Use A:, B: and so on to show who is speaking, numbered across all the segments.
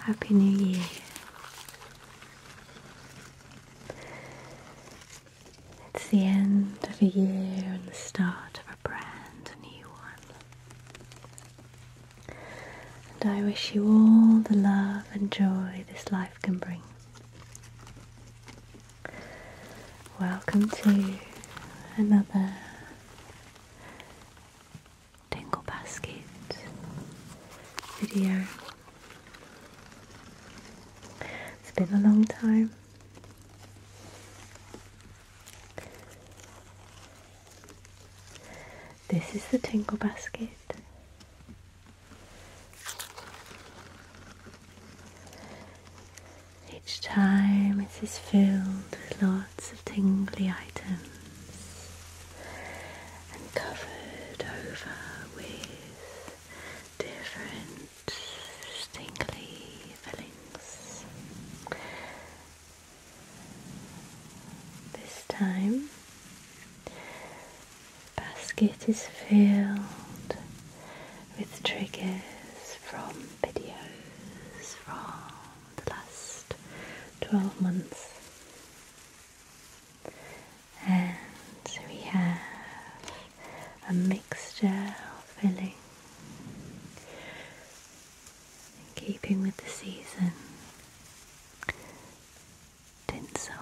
A: Happy New Year. It's the end of a year and the start of a brand new one. And I wish you all the love and joy this life can bring. Welcome to another Tingle Basket video. It's been a long time. This is the Tingle Basket. Each time it is filled with lots of tingly items and covered over with different tingly fillings. This time the basket is filled with triggers from videos, from the last 12 months. And we have a mixture of filling in keeping with the season. Tinsel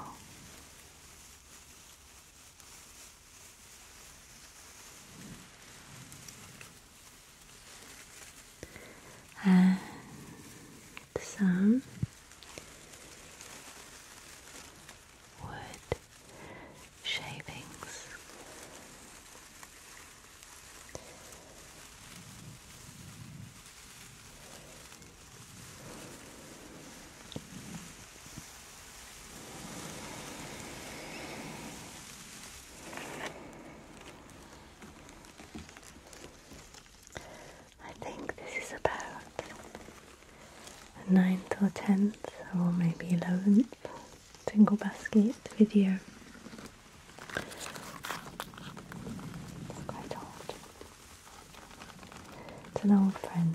A: and some wood shavings. I think this is about a ninth or tenth or maybe eleventh single basket video. It's quite old. It's an old friend.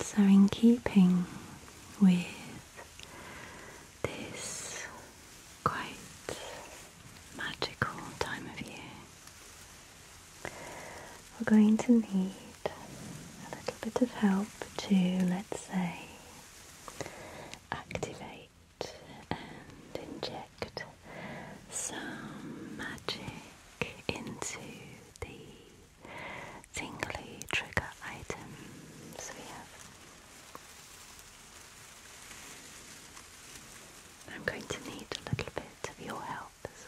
A: So, in keeping with this quite magical time of year, we're going to need a little bit of help to, let's say, activate and inject some magic into the tingly trigger items we have. I'm going to need a little bit of your help as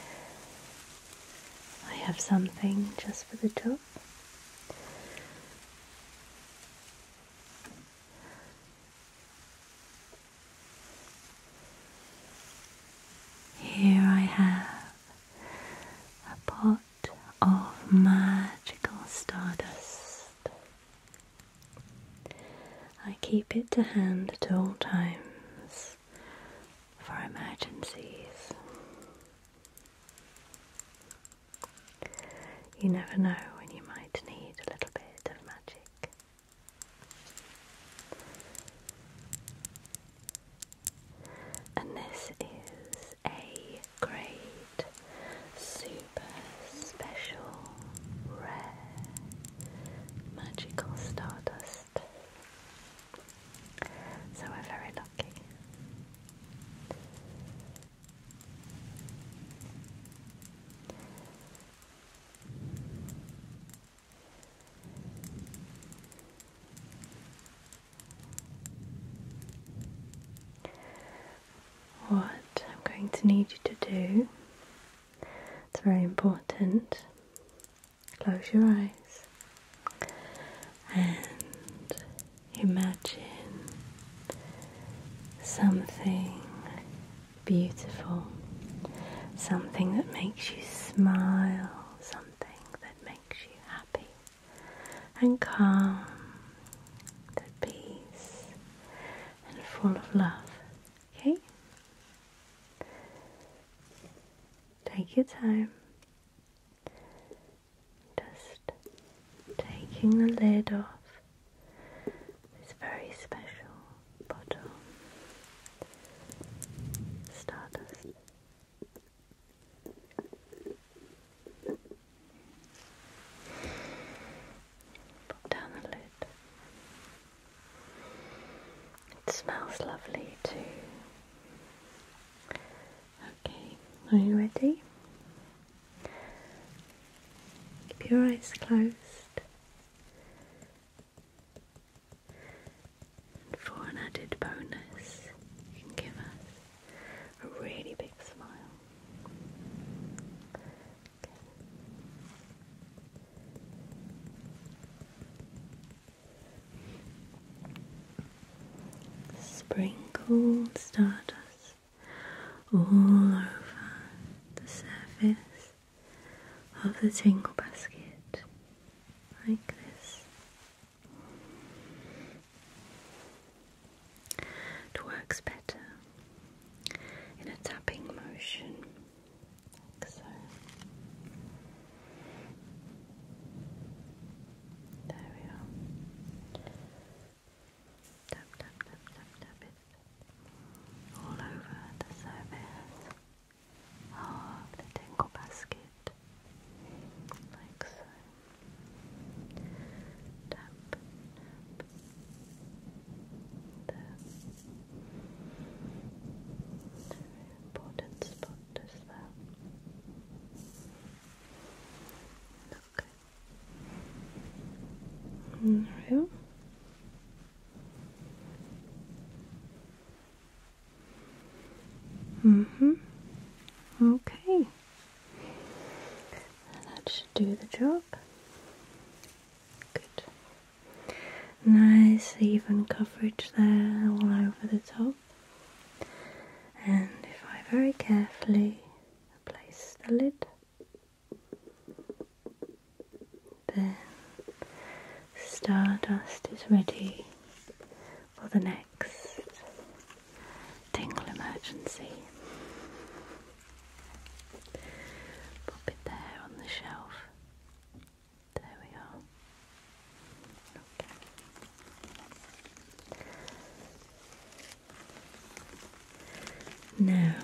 A: well. I have something just for the job. Here I have a pot of magical stardust. I keep it to hand at all times for emergencies. You never know when you might need a little bit of magic. And this is a great, super special, rare, magical stardust. So we're very lucky. What I'm going to need you to do, it's very important. Close your eyes and imagine something beautiful something that makes you smile, something that makes you happy and calm, at peace and full of love. Okay? Take your time. Just taking the lid off. It's very special bottom stardust put down the lid it smells lovely too okay are you ready? Keep your eyes closed. And for an added bonus, you can give us a really big smile. Okay. Sprinkled stardust all over the surface of the Twinkle Basket, like this. It works better in a tapping motion, like so. There we are. Tap, tap, tap, tap, tap it all over the surface of the tangle basket, like so. important spot is that. Okay. There. Mm, Mm-hmm. Okay. That should do the job. Good. Nice even coverage there all over the top. And if I very carefully place the lid there, Stardust is ready for the next tingle emergency. Pop it there on the shelf. There we are. Now,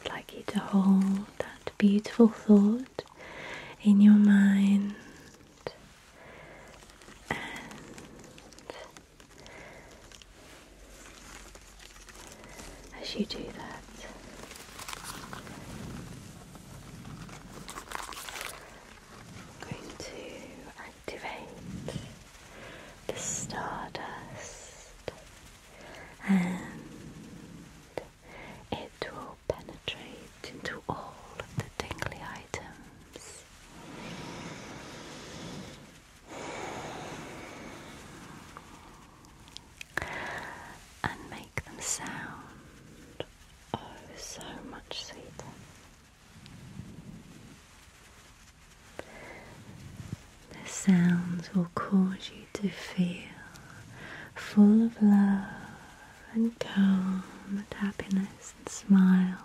A: I'd like you to hold that beautiful thought in your mind and as you do that, I'm going to activate the stardust and it will penetrate into all of the tingly items. And make them sound oh so much sweeter. The sounds will cause you to feel full of love and calm and happiness and smiles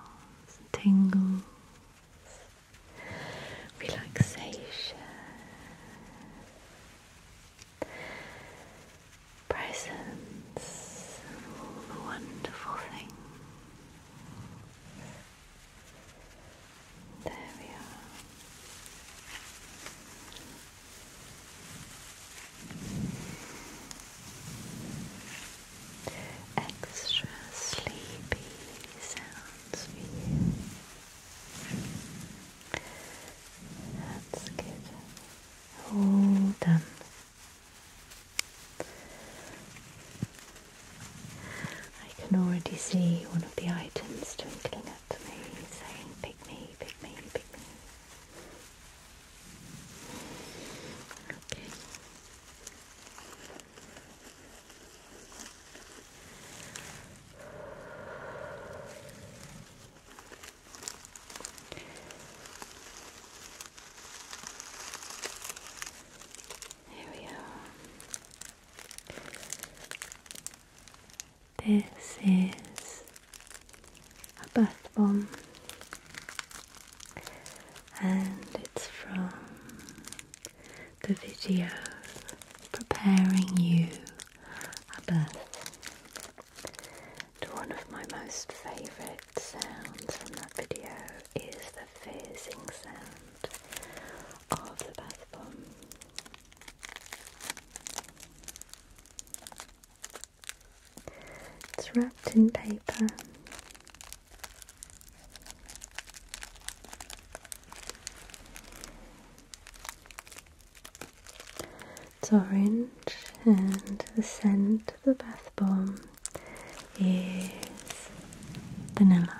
A: and tingles, relaxation, presence, wonderful things. There we are. Extra sleepy sounds for That's good. All done. I can already see one of the items twinkling at me saying, pick me, pick me, pick me. Okay. Here we are. This is a bath bomb and it's from the video preparing you a bath to one of my most favourite sounds from that video is the fizzing sound of the bath bomb it's wrapped in paper. It's orange, and the scent of the bath bomb is vanilla.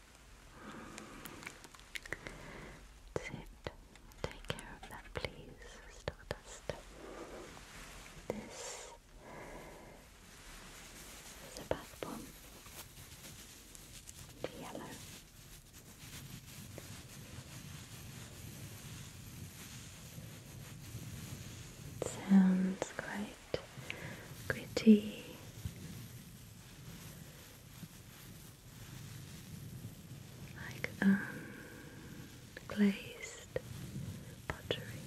A: That's it. Take care of that, please, Stardust. This is a bath bomb. Yellow. Sounds quite gritty. Like unglazed um, pottery.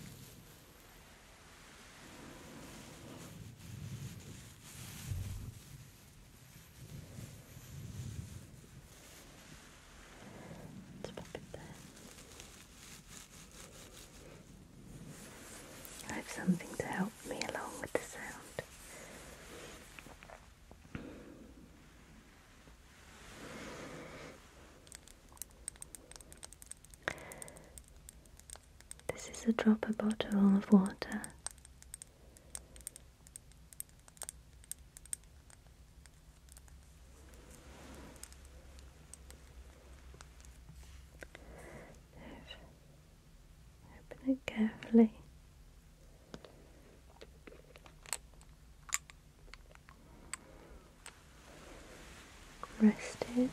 A: Let's pop it there. I have something to help me along with the sound. This is a dropper bottle of water. Open it carefully. Rest it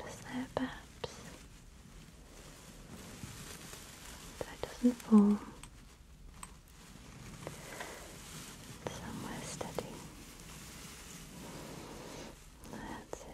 A: just perhaps, so doesn't fall. Somewhere steady. That's it.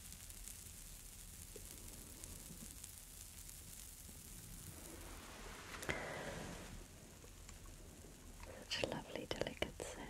A: Such a lovely, delicate sound.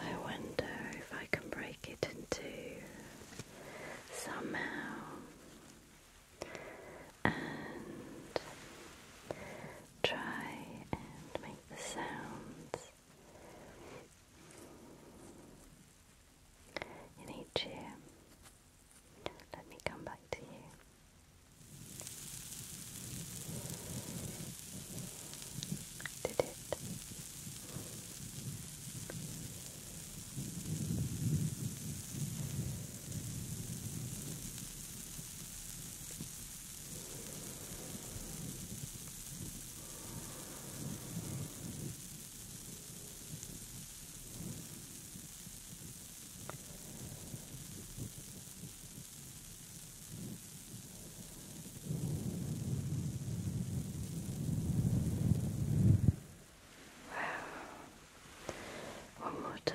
A: I wonder if I can break it in two somehow and try and make the sounds in each ear. Let me come back to you. Did it? Wow. One more time.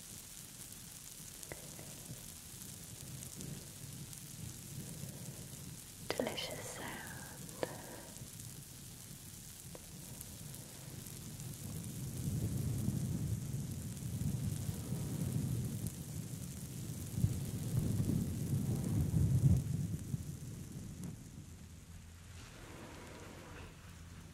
A: Delicious sound.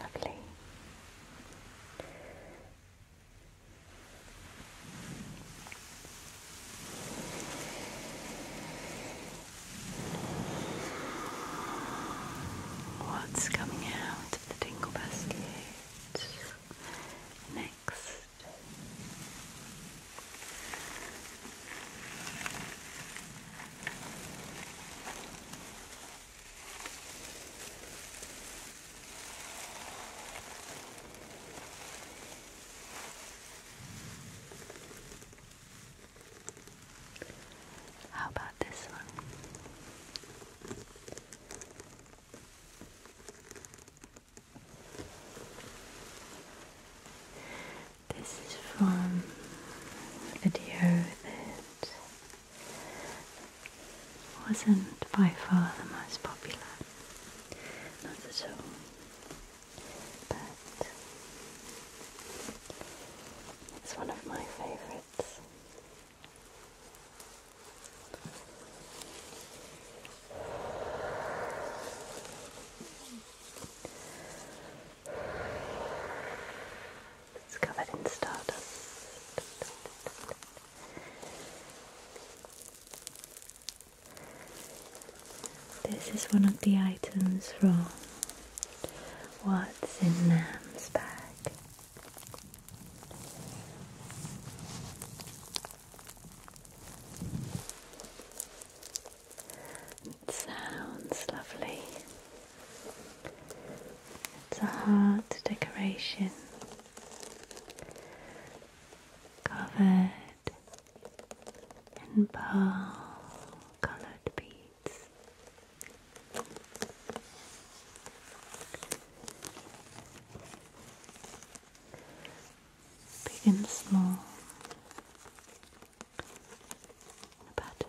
A: Lovely. What's coming out of the tingle basket next? How about this one? This is from a video that wasn't by far the most popular. Not at all. But it's one of my favourites. It's covered in stardust. This is one of the items from what's in Nam's bag. It sounds lovely. It's a heart decoration covered in pearl coloured beads. Big and small. A pattern.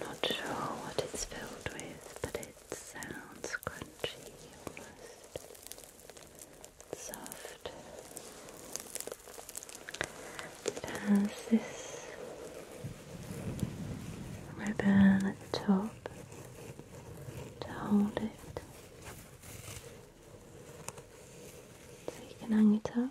A: Not sure what it's filled with, but it sounds crunchy and Soft. It has this ribbon at the top to hold it. So you can hang it up.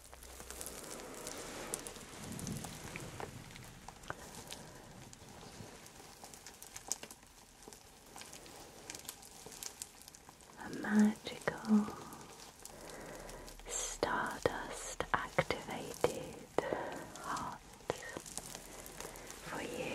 A: A magical stardust activated heart for you.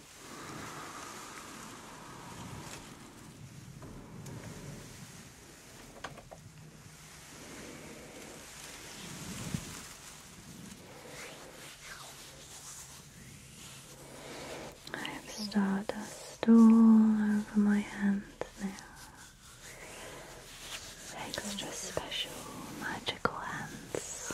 A: I have started a store over my hands now. Extra special magical hands.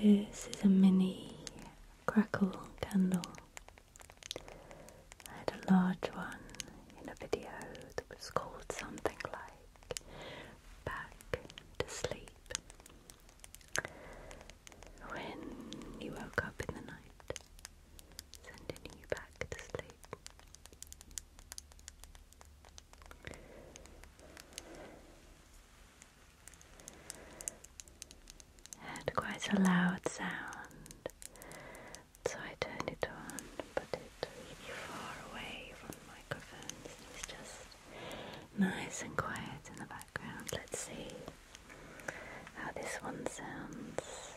A: This is a mini crackle candle I had a large one in a video that was called something like Back to Sleep when you woke up in the night, sending you back to sleep. had quite a loud sound so I turned it on, but it's really far away from the microphones. It's just nice and quiet in the background. Let's see how this one sounds.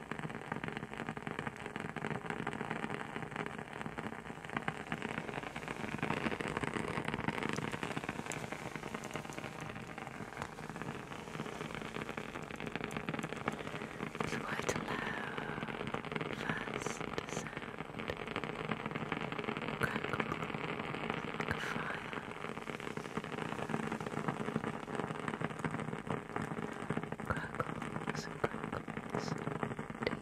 A: It's quite a low, fast sound. Crackle, like a fire crackles, crackles, tape. Deep sound. Deep sound.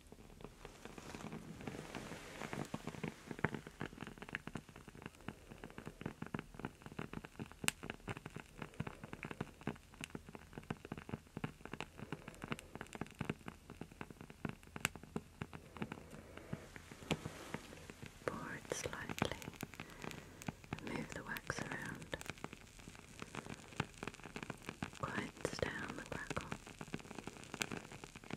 A: Pour it slightly move the wax around. Quiets down the crackle.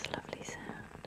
A: It's a lovely sound.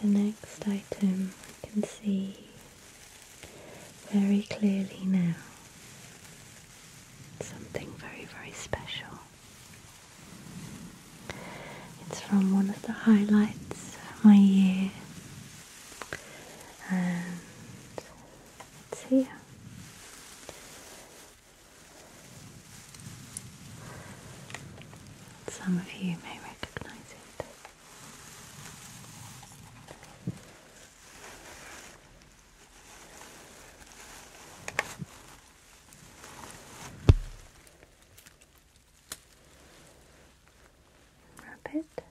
A: The next item I can see very clearly now. Something very, very special. It's from one of the highlights of my year, and it's here. Some of you may recognize it. Wrap it.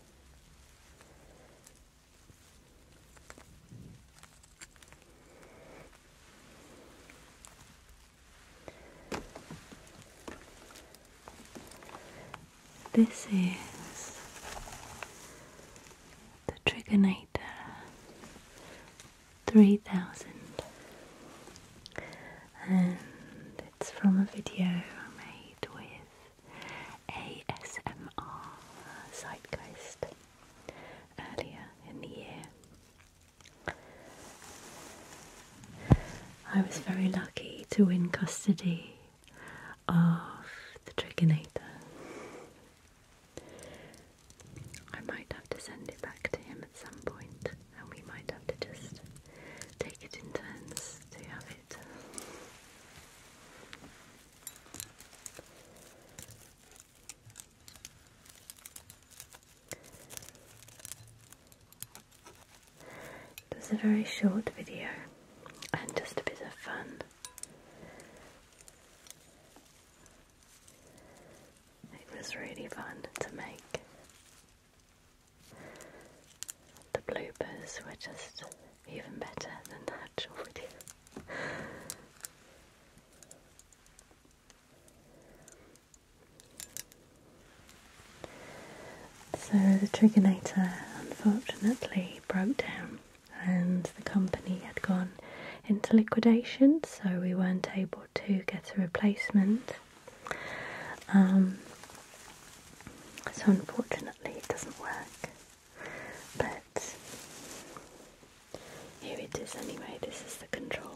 A: This is the Trigonator 3000 and it's from a video I made with ASMR Sidequest earlier in the year. I was very lucky to win custody of the Trigonator. I might have to send it back to him at some point, and we might have to just take it in turns to have it. It was a very short video and just a bit of fun. It was really fun to make. The bloopers were just even better than the actual video. So the Trigonator unfortunately broke down and the company had gone into liquidation, so we weren't able to get a replacement. Um, so unfortunately, it doesn't work, but here it is anyway. This is the controller.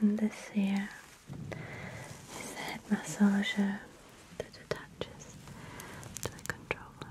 A: And this here is the head that attaches to the controller.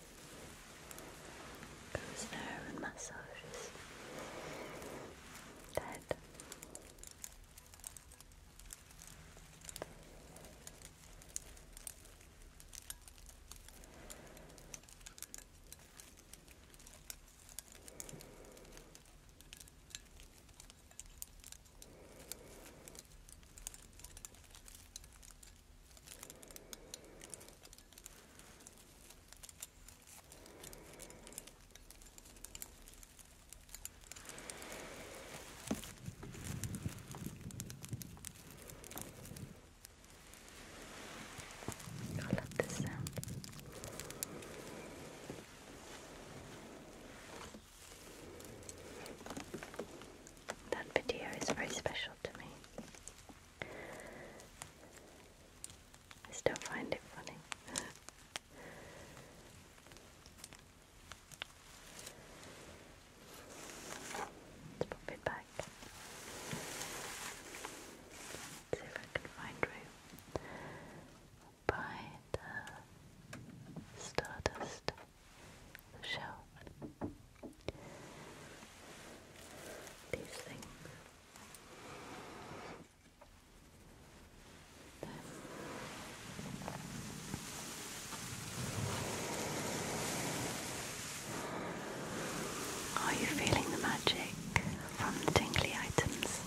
A: goes there and massages the head. I love this That video is very special to me. I still find it funny. Let's pop it back. see if I can find room by stardust, the These things. Are you feeling the magic from the tingly items?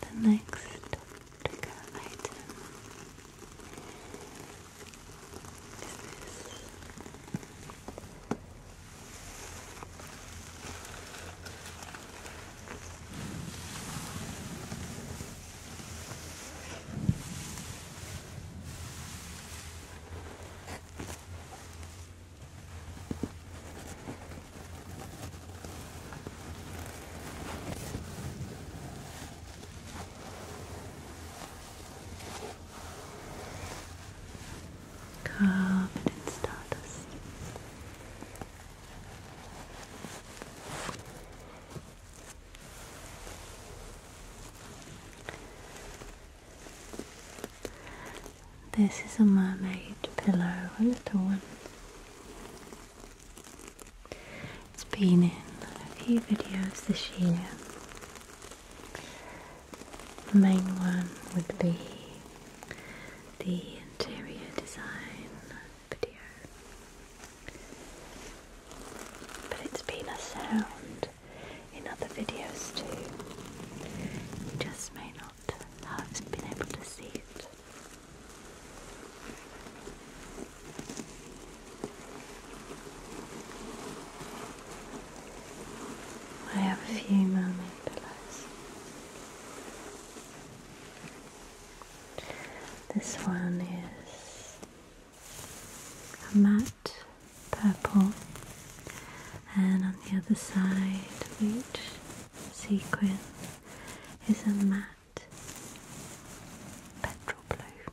A: The next item is this. Covered in this is a mermaid pillow, a little one. It's been in a few videos this year. The main one would be the interior design video. But it's been a sound in other videos too. You just may not have been able to see it. I have a few mermaid pillows. This one is a matte purple, and on the other side of each sequin is a matte petrol blue.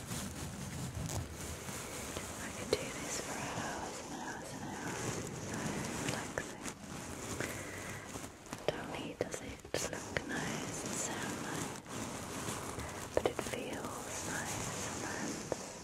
A: I could do this for hours and hours and hours. Not only does it look nice and sound nice, but it feels nice sometimes. I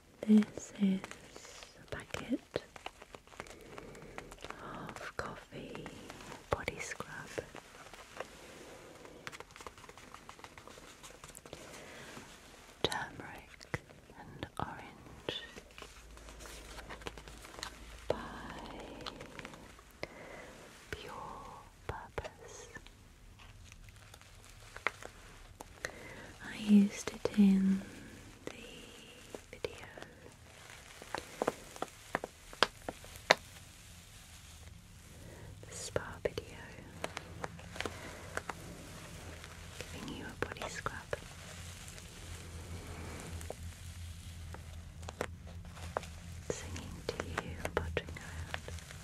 A: This is a packet of coffee body scrub. Turmeric and Orange by Pure Purpose. I used it in the video. The spa video. Giving you a body scrub. Singing to you, pottering around.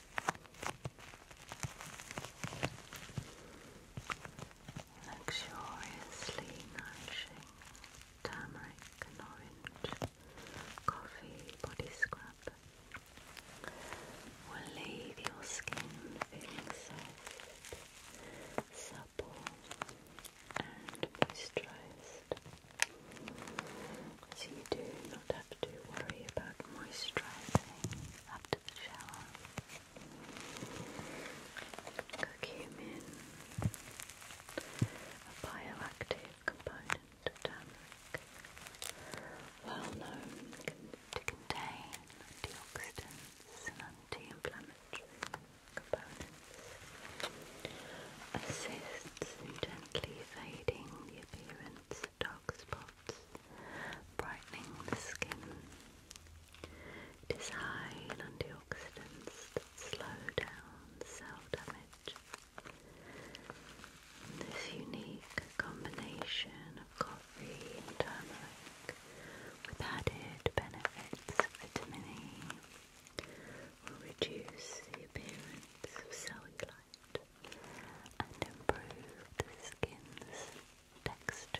A: Luxuriously nourishing turmeric orange coffee body scrub will leave your skin feeling soft, supple, and moisturized. So you do not have to worry about moisturising after the shower. Curcumin, a bioactive component of turmeric, well known to contain antioxidants and anti-inflammatory components, assists gently fading the appearance dark spots, brightening the skin. It is antioxidants that slow down cell damage. This unique combination of coffee and turmeric with added benefits of vitamin E will reduce the appearance of cellulite and improve the skin's texture.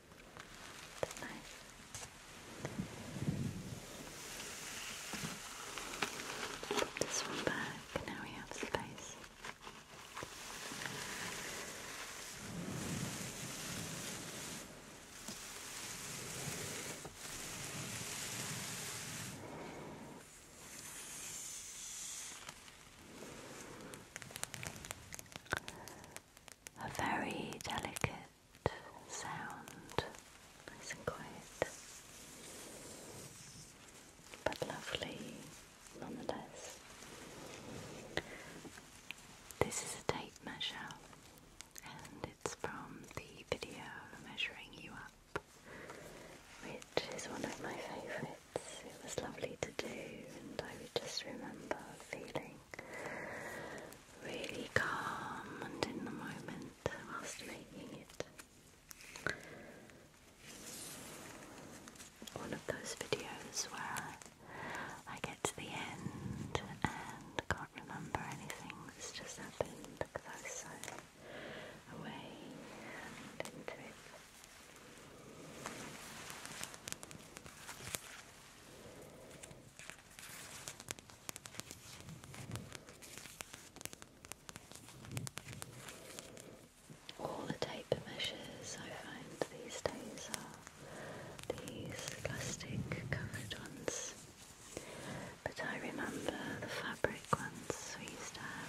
A: That's nice. Put this one back, now we have space. A very delicate sound, nice and quiet, but lovely nonetheless. This is a tape measure, and it's from the video measuring you up, which is one of my favourites. It was lovely to do, and I just remember feeling really calm and in the moment whilst making it. One of those videos where I get to the end and can't remember anything that's just happened because I was so away into it. All the tape measures I find these days are these plastic covered ones. But I remember the fabric ones we used to have.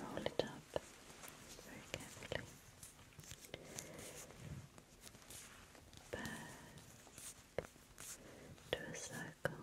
A: roll it up very carefully back to a circle.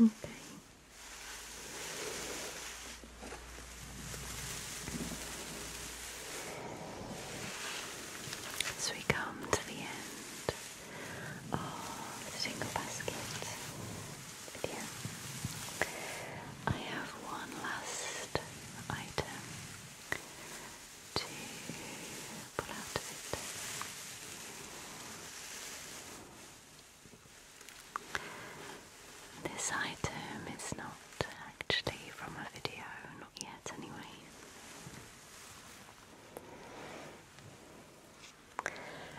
A: Okay. So we come to the end of single basket video. I have one last item to put out of it. This item is not actually from a video, not yet anyway.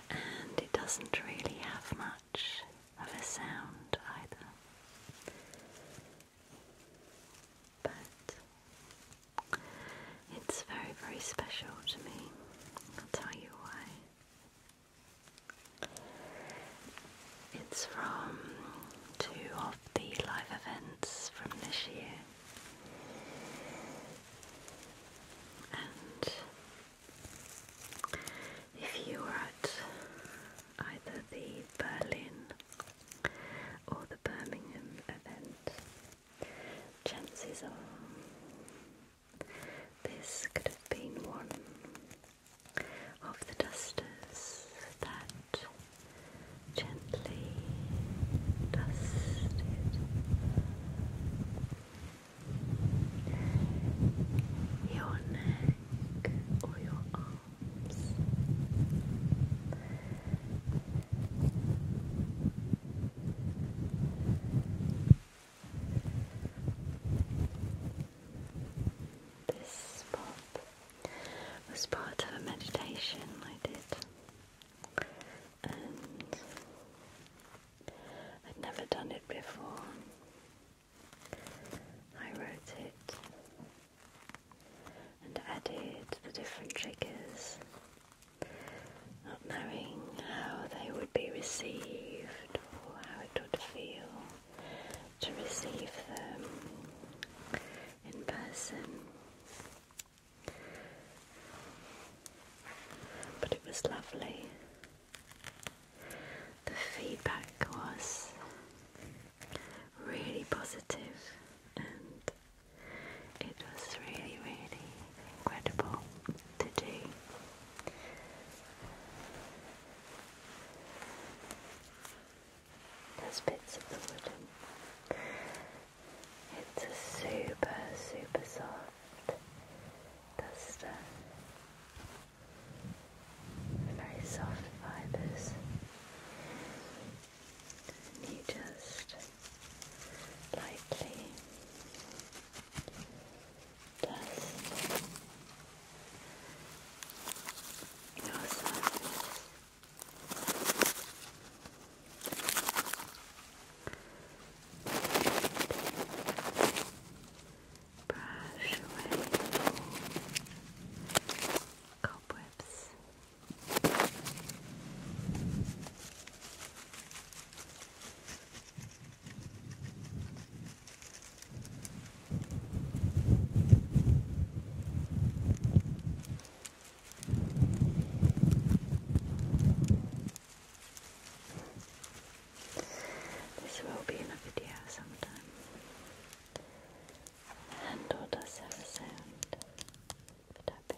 A: And it doesn't really have much of a sound either. But it's very, very special to me. I'll tell you why. It's from two of the live events from this year. And if you were at either the Berlin or the Birmingham event. Chances are this could have been one of the dusters that gently dusted your neck or your arms. This spot was part of a meditation I did, and I'd never done it before. I wrote it and added the different triggers, not knowing how they would be received or how it would feel to receive them in person. But it was lovely the feedback was really positive and it was really, really incredible to do. There's bits of the wood. It's a super, super soft duster very soft fibers. you just lightly dust your surface brush away cobwebs. This will be in a video sometime. The handle does have a sound for tapping.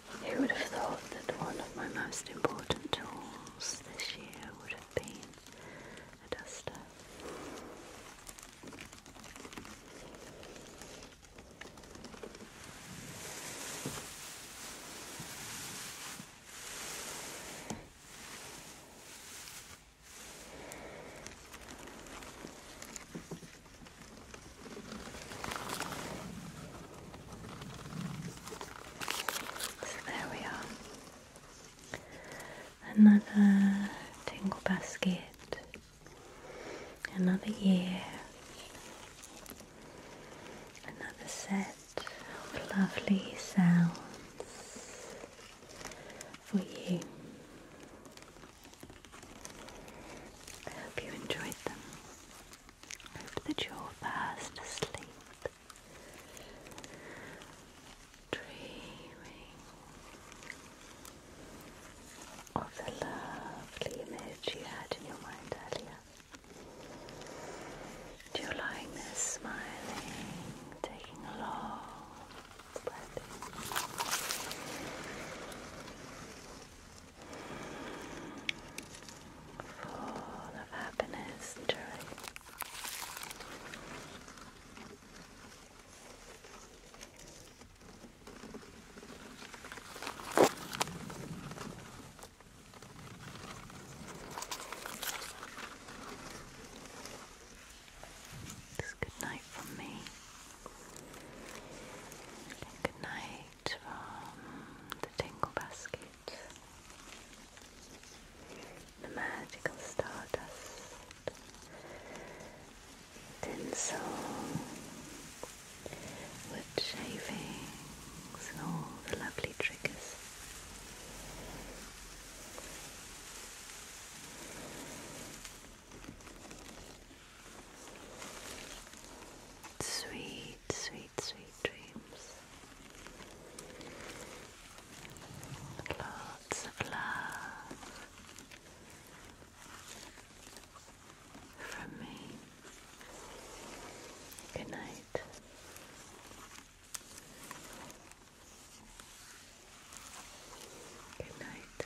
A: Who would have thought that one of my most important tools this year would have been a duster? there we are. Another tingle basket. Another year. Another set of lovely sounds for you. I hope you enjoyed them. Hope that you're fast asleep, dreaming of the lovely image you had in your mind earlier. And you smiling, taking a long breath full of happiness and It's good night from me. Good night from um, the Tingle Basket. The Magical Stardust. Tinsel. Wood shavings and all the lovely triggers. Sweet sweet, sweet, sweet dreams. Lots of love from me. Good night. Good night. Good night.